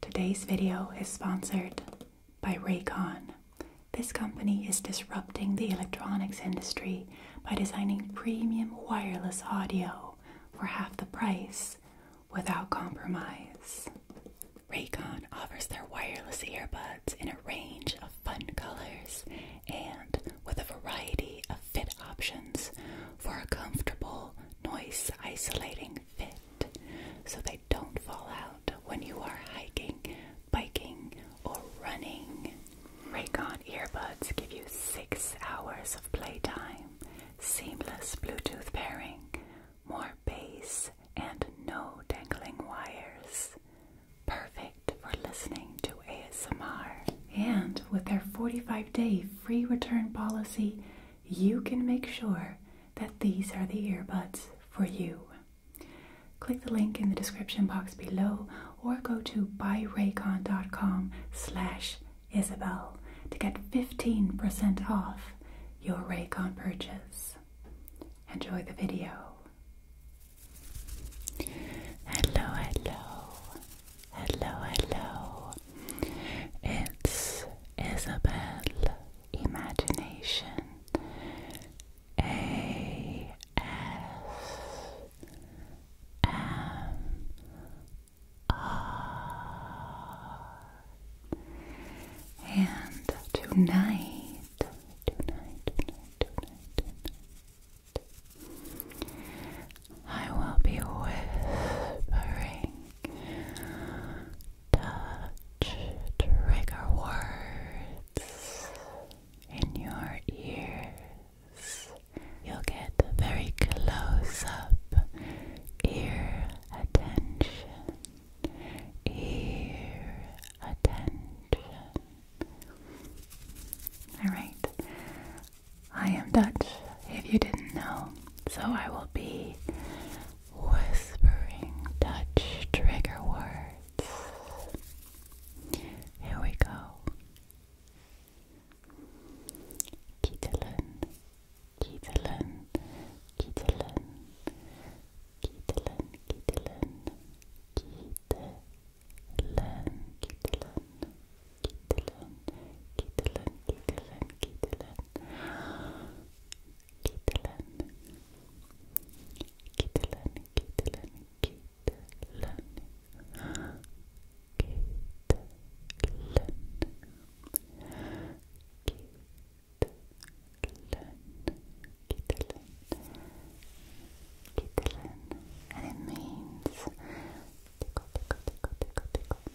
Today's video is sponsored by Raycon. This company is disrupting the electronics industry by designing premium wireless audio for half the price without compromise. Raycon offers their wireless earbuds in a range of fun colors and with a variety of fit options for a comfortable, noise isolating fit so they don't fall out when you are hiking, biking, or running. Raycon earbuds give you six hours of playtime, seamless Bluetooth pairing, more bass, and no dangling wires. Perfect for listening to ASMR. And with their 45 day free return policy, you can make sure that these are the earbuds for you. Click the link in the description box below or go to buyraycon.com slash Isabel to get 15% off your Raycon purchase. Enjoy the video. Hello, hello. Hello, hello. It's Isabel Imagination A S M R. And tonight, I will be whispering touch trigger words in your ears. You'll get very close up ear attention, ear attention. Alright, I am Dutch, if you didn't know, so I will be whispering Dutch trigger words. Here we go. Kietelen, kietelen, kietelen, kietelen, kietelen, kietelen, kietelen, Kittelin, Kittelin, Kittelin, Kittelin, Kittelin, Kittelin, Kittelin, Kittelin, Kittelin, Kittelin, and it means tickle, tickle, tickle, tickle, tickle,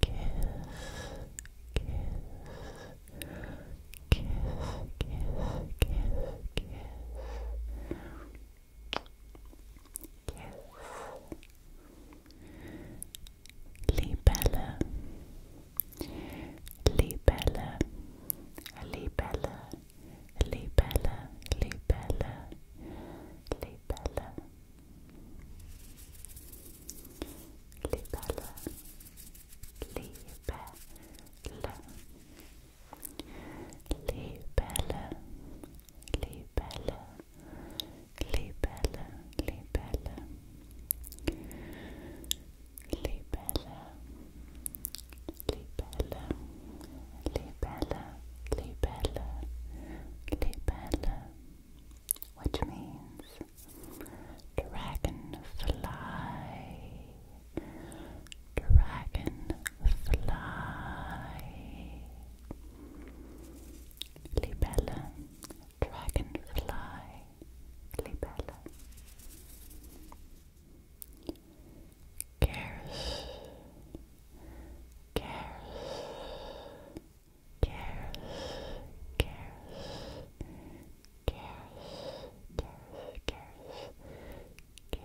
kiss Libella Libella Libella Libella Libella Libella Libelle, libelle, libelle, libelle, libelle, libelle, libelle, libelle libella, libella, libella, which means dragonfly, dragonfly, libella, dragonfly, libella. Cares, cares, cares, cares, cares, cares, cares, cares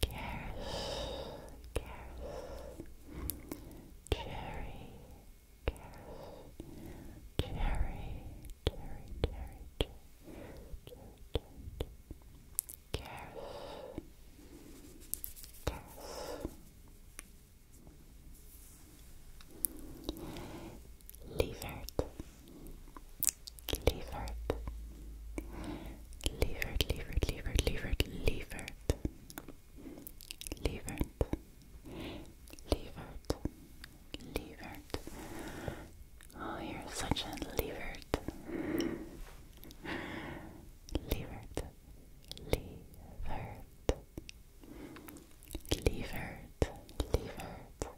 Cares, cares, cherry, cares, cherry, cherry, cherry, cherry, cherry, cherry, cares, cares. Lievert, lievert, Levert, levert, levert, levert, levert. Levert. Levert. Levert. Oh, you're such a levert. Levert. Levert. Levert. Levert.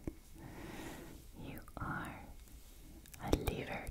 You are a levert.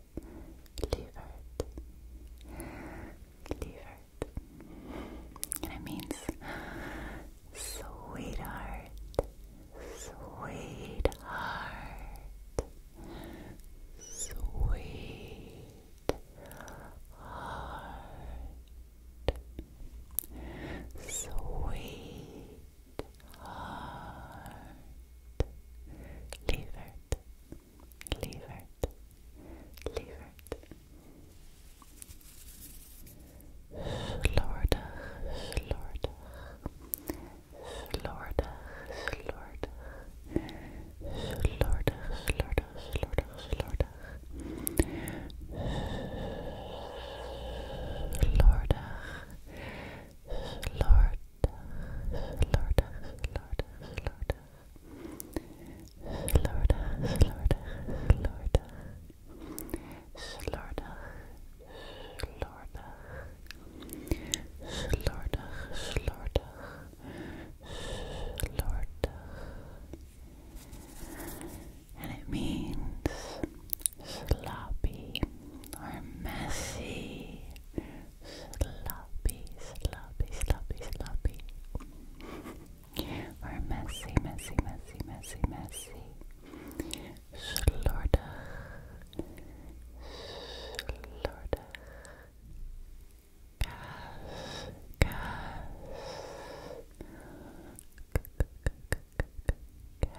Lievert. Lievert. And it means sweetheart. Sweetheart. Sweetheart. Sweetheart. Lievert. Lievert, Lievert. Slordig, slordig. Slordig, slordig. Slordig, slordig, slordig, slordig. Slordig, Florida, Florida, Florida, Florida, Florida, Florida, Florida, Florida, Florida, Florida, and it means sloppy or messy sloppy, sloppy, sloppy, sloppy. Or messy, messy, messy, messy, messy. Slordig. Slordig. Gas. Gas. Gas.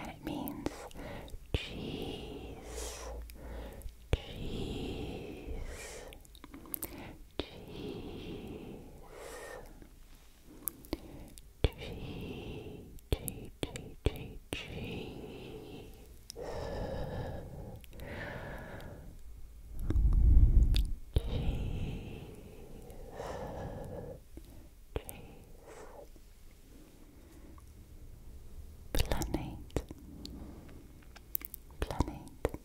and it means cheese, cheese, cheese cheese cheese cheese cheese Planet, planet,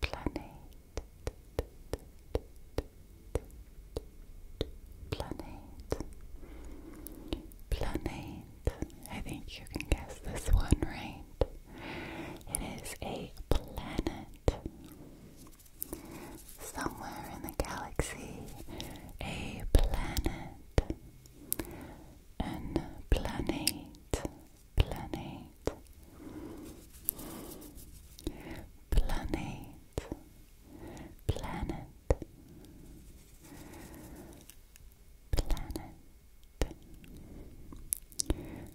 planet planet planet I think you can guess this one right it is a planet somewhere in the galaxy a planet an planet planet planet planet planet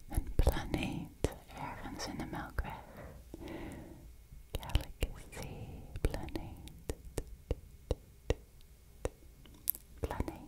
een planeet ergens in de melkweg galaxy planeet planeet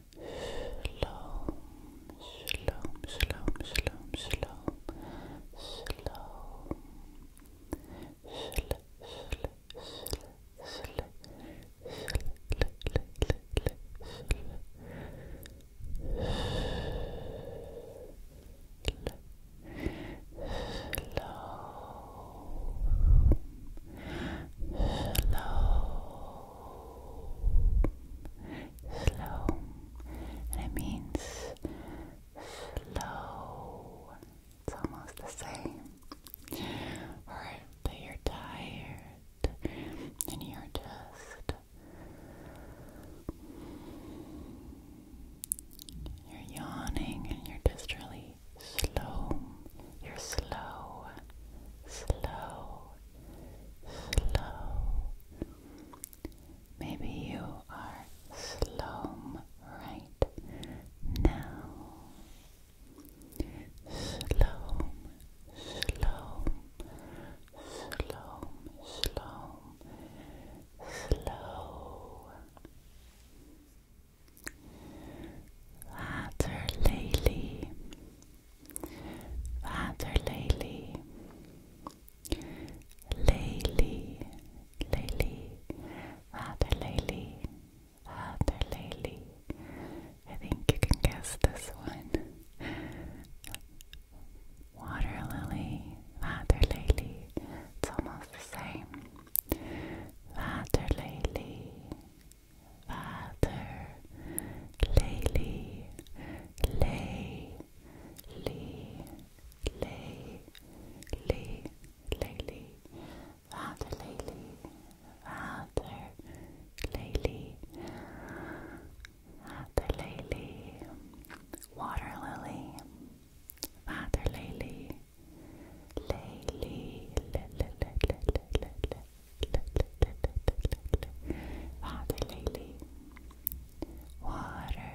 Shalom, shalom, shalom, shalom, shalom, shalom. Shl, shl, shl, shl, shl, Slow, slow, slow, it means slow. It's almost the same. Alright, but you're tired, and you're just. You're yawning and you're just really slow. You're slow, slow, slow. Maybe you are slow right now. Slow, slow, slow, slow, slow. Waterlily, Waterlelie, lelie, lelie, waterlelie, waterlelie. I think you can guess this one. Water lily, water lily. It's almost the same. Water lily, vader, Lely, Lely, Lely, Lely, Lely, Lely, vader, Lely, vader, Lely, vader, Lely, water lily, vader, Lely, Lely, Lely, Lely, Lely, Water lily. Water.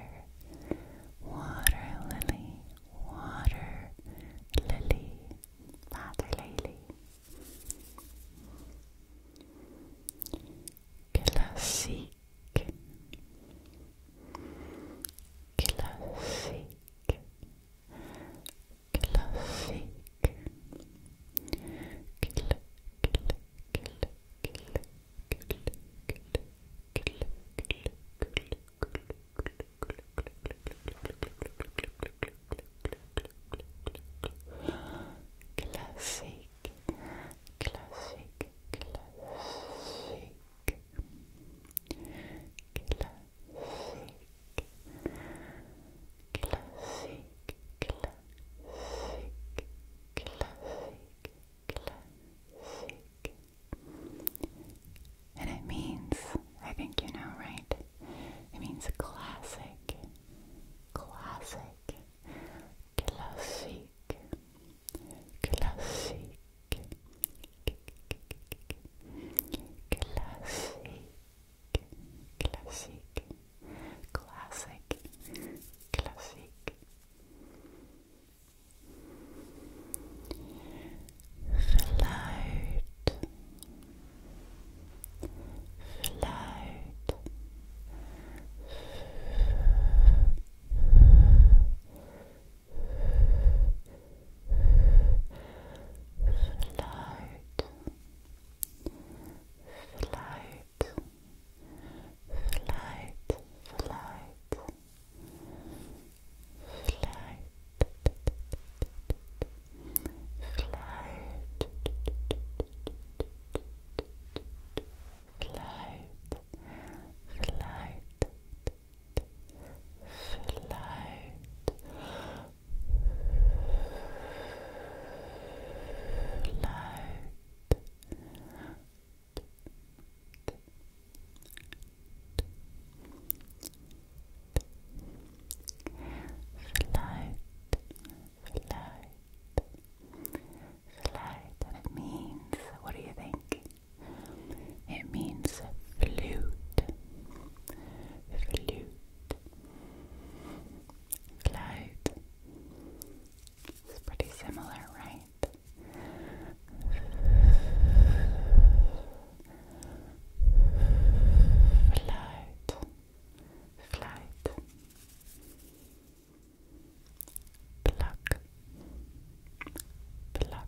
Water lily. Water lily. Water lily. Classique. Classique. Classique classique, classique, classique. Classique, classique, classique, classique, classique. And it means, I think you know, right? It means classic, classic, classique, classique, classique. Classique, classique, classique, classique. Fluit, fluit, Float, flight, flight, flight, flight, flight, flight, flight. Flight, loud. Float, float, means, what do you think? It means flute, flute, Cloud. It's pretty similar, right? Flight, flight, pluck, pluck, pluck,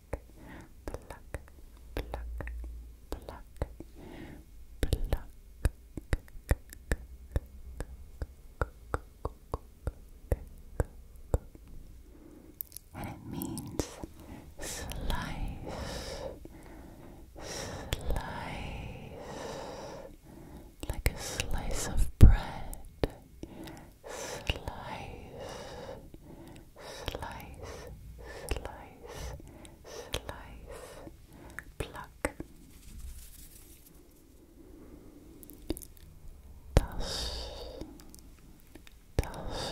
pluck, And it means slice, slice, like a slice of bread, slice, slice, slice, slice, pluck. Das, das.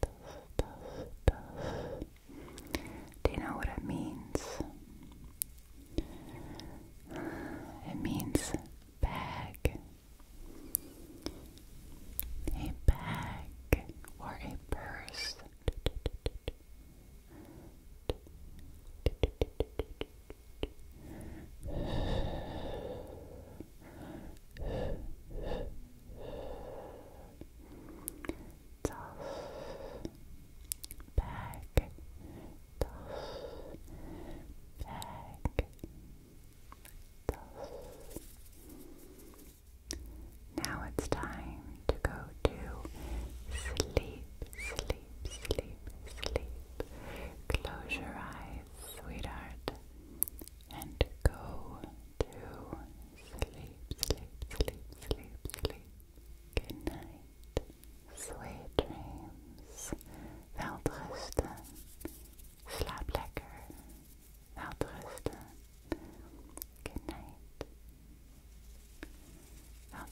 Do you know what it means? It means bag. A bag or a purse das, bag, das, bag, das. Now it's time to go to sleep, sleep, sleep, sleep. Close your eyes, sweetheart, and go sleep, sleep, sleep, sleep, sleep. Good night. Sweet dreams. Wel rusten. lekker. Wel Good night. Wel